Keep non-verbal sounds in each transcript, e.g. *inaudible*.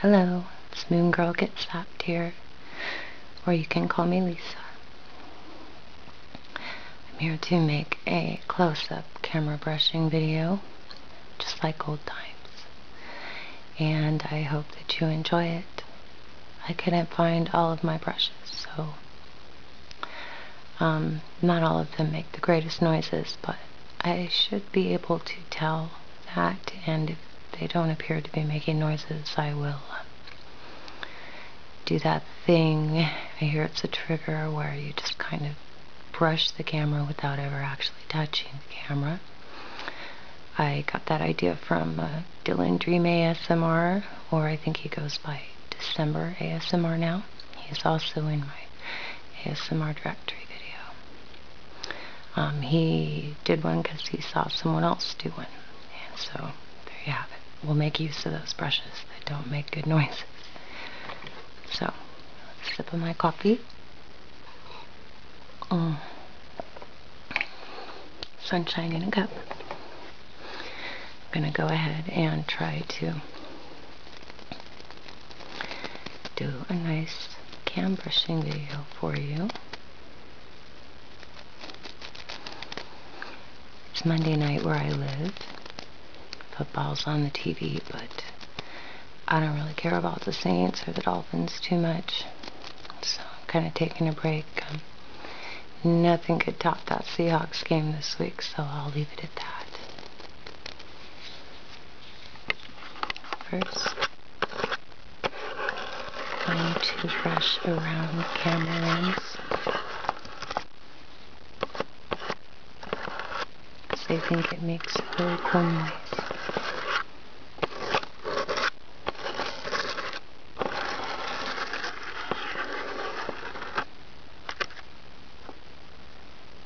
Hello, it's Moon Girl Get Slapped here, or you can call me Lisa. I'm here to make a close-up camera brushing video, just like old times, and I hope that you enjoy it. I couldn't find all of my brushes, so um, not all of them make the greatest noises, but I should be able to tell that and if they don't appear to be making noises I will um, do that thing I hear it's a trigger where you just kind of brush the camera without ever actually touching the camera I got that idea from uh, Dylan Dream ASMR or I think he goes by December ASMR now he's also in my ASMR directory video um, he did one because he saw someone else do one. And so there you have it. We'll make use of those brushes that don't make good noise. So, sip of my coffee. Mm. Sunshine in a cup. I'm going to go ahead and try to do a nice cam brushing video for you. It's Monday night where I live. Football's on the TV, but I don't really care about the Saints or the Dolphins too much. So I'm kind of taking a break. Um, nothing could top that Seahawks game this week, so I'll leave it First, I'm going to brush around the camera lens. I think it makes a really cool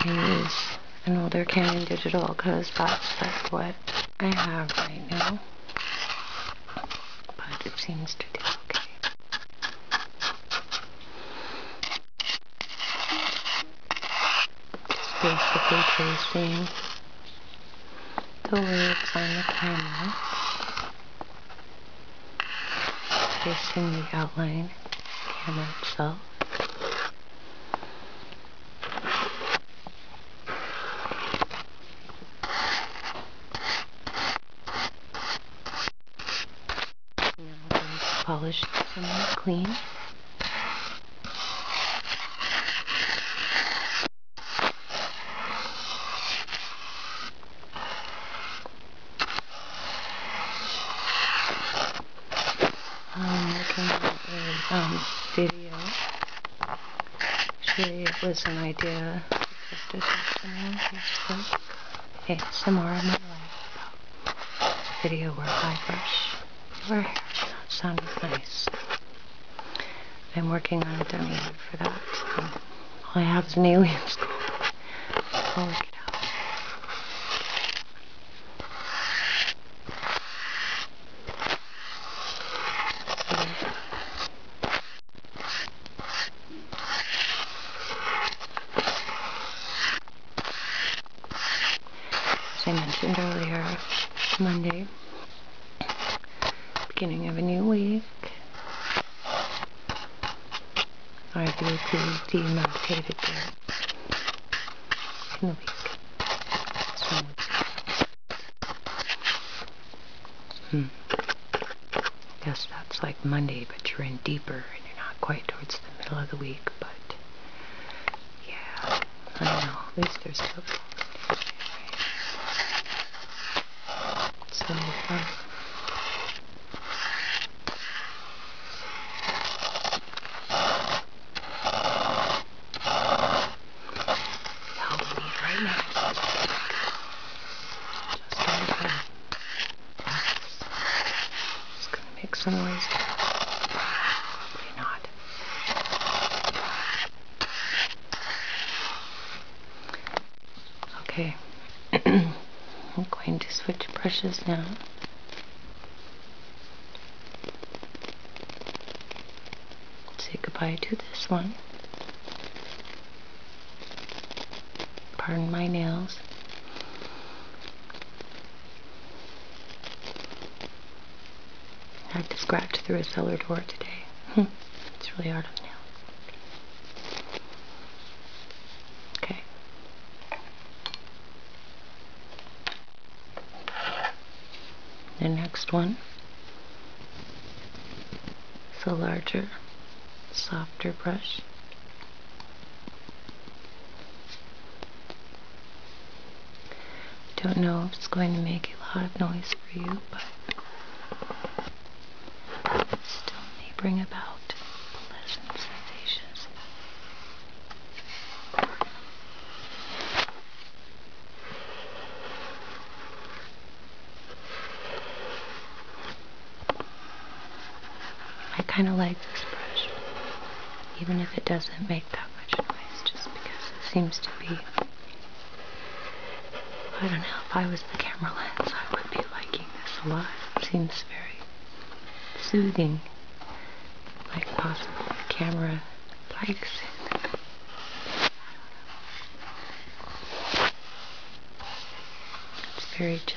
I use an older Canon digital because that's like what I have right now. But it seems to do okay. Just basically tracing the words on the camera. Tracing the outline camera itself polished somewhat clean um, looking at a um, video. Actually, it was an idea suggested by someone on Facebook. ASMR in my life. It's a video where I brush your hair. It sounded nice. I'm working on a dummy for that. So all I have is an alien skull. I'll work it out. As I mentioned earlier, Monday, beginning of a new week, are being demarcated there in the week. So, hmm. Guess that's like Monday, but you're in deeper and you're not quite towards the middle of the week, but yeah, I don't know. At least there's still. So, um, help you need right now. Just trying to put Just gonna make some noise. Probably not. Okay, *clears throat* I'm going to switch brushes now. Say goodbye to this one. Pardon my nails. I had to scratch through a cellar door today. *laughs* it's really hard on nails. Okay. The next one is a larger, softer brush. Don't know if it's going to make a lot of noise for you, but still may bring about I kind of like this brush, even if it doesn't make that much noise, just because it seems to be. I don't know, if I was the camera lens, I would be liking this a lot. It seems very soothing like possible camera likes. It's very gentle.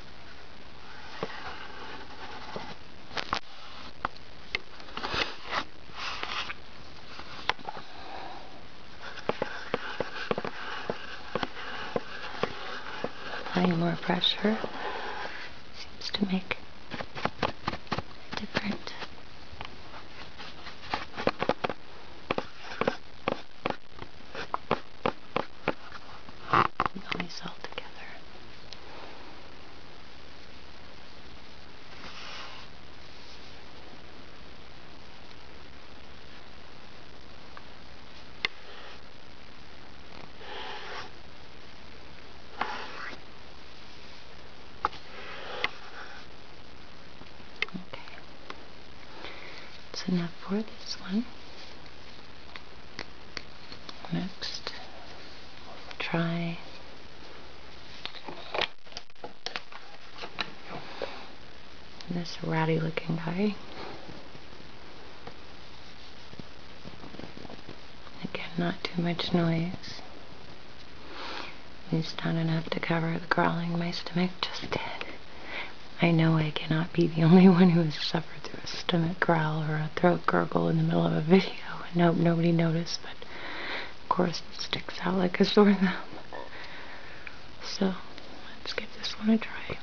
applying more pressure seems to make a difference. Noise altogether. Okay, that's enough for this one. Next, try this ratty looking guy. Again, not too much noise. At least enough to cover the crawling. my stomach just did. I know I cannot be the *laughs* only one who has suffered through a stomach growl or a throat gurgle in the middle of a video and nobody noticed, but of course it sticks out like a sore thumb. So, let's give this one a try.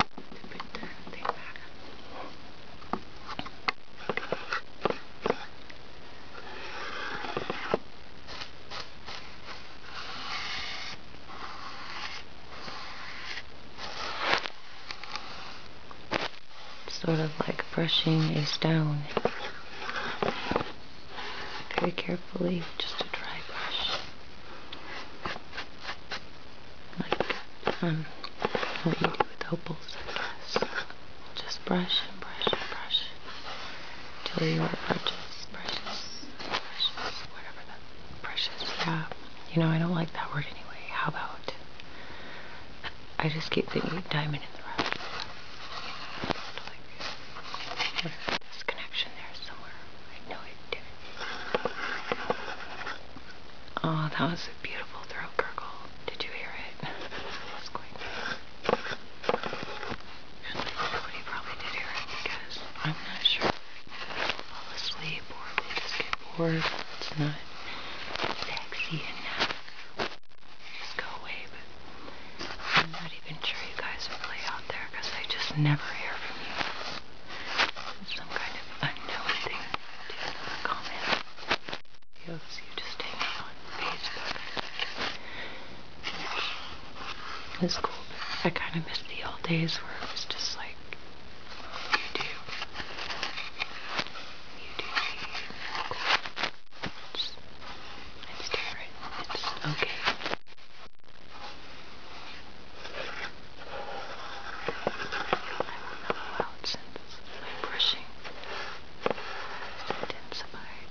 Sort of like brushing a stone. Very carefully, just a dry brush. Like, um, what you do with opals, Just brush and brush and brush until you have brushes, precious, precious, whatever that brushes, yeah. You know, I don't like that word anyway. How about? I just keep thinking diamond in the rough. Oh, that was a beautiful throat gurgle. Did you hear it? *laughs* nobody probably did hear it because I'm not sure fall asleep or we just get bored. It's not sexy enough. Just go away. I'm not even sure you guys are really out there because I just never hear from you. some kind of unknown thing to comment. Yes, you just hang on Facebook. It's cool. I kind of miss the old days where it was just like like you do. You do it's, it's different. It's okay. I will mellow out since my brushing has intensified.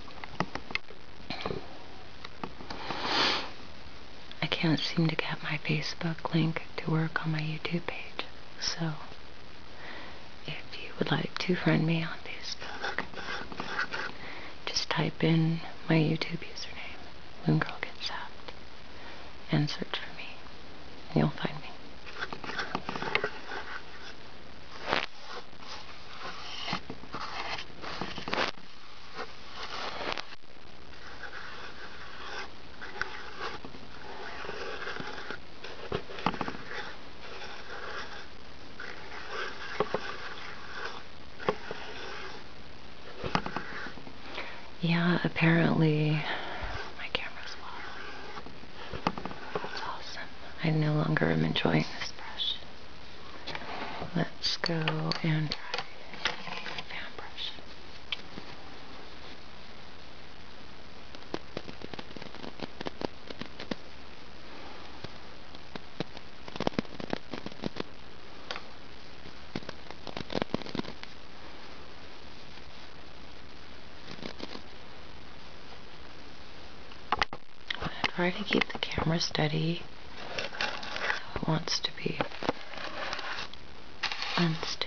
I can't seem to get my Facebook link to work on my YouTube page, so if you would like to friend me on Facebook, just type in my YouTube username, Moon and search for me, and you'll find me. Yeah, apparently my camera's wobbly. That's awesome. I no longer am enjoying this brush. Let's go and try a I'm going to try to keep the camera steady it wants to be unsteady.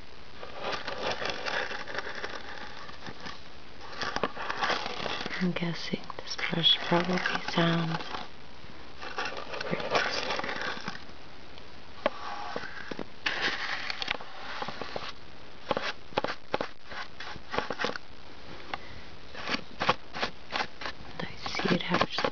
I'm guessing this brush probably sounds pretty I see it actually.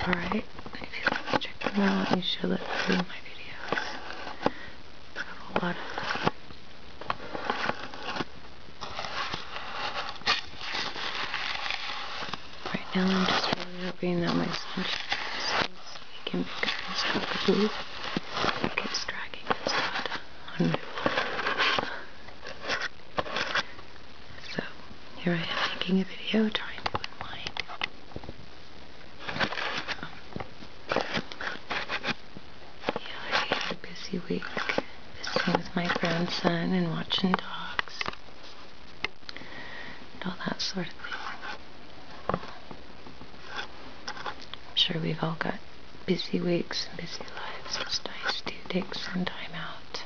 Alright, if you want to check them out, you should look through my videos. I have a lot of Right now I'm just really hoping that my son can pick up his cockapoo. He keeps dragging his head So, here I am making a video trying to unwind. Um, I had a busy week visiting with my grandson and watching dogs and all that sort of thing. I'm sure we've all got busy weeks and busy lives. It's nice to take some time out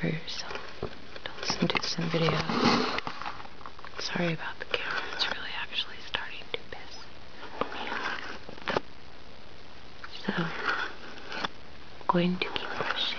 for yourself. Don't listen to some video. Sorry about the camera, it's really actually starting to piss me off. So, I'm going to keep brushing.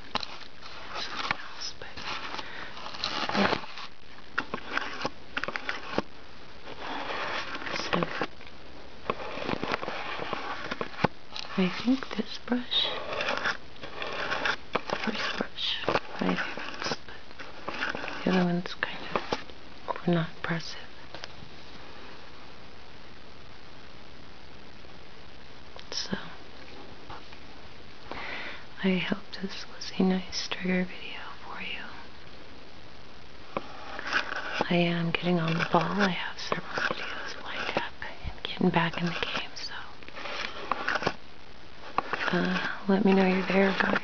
so I think this brush, the brush, my favorites, the other one's kind of not impressive. So I hope this was a nice trigger video for you. I am getting on the ball. I have several videos lined up and getting back in the game, so uh, let me know you're there, guys.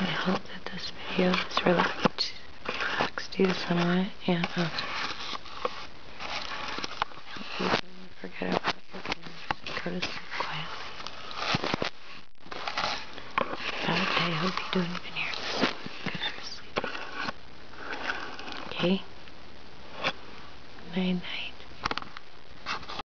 I hope that this video is relaxed, relaxed you somewhat, and um, uh, you forget about your fears, courtesy quietly. Bad day, hope you don't even here. Okay? Night night.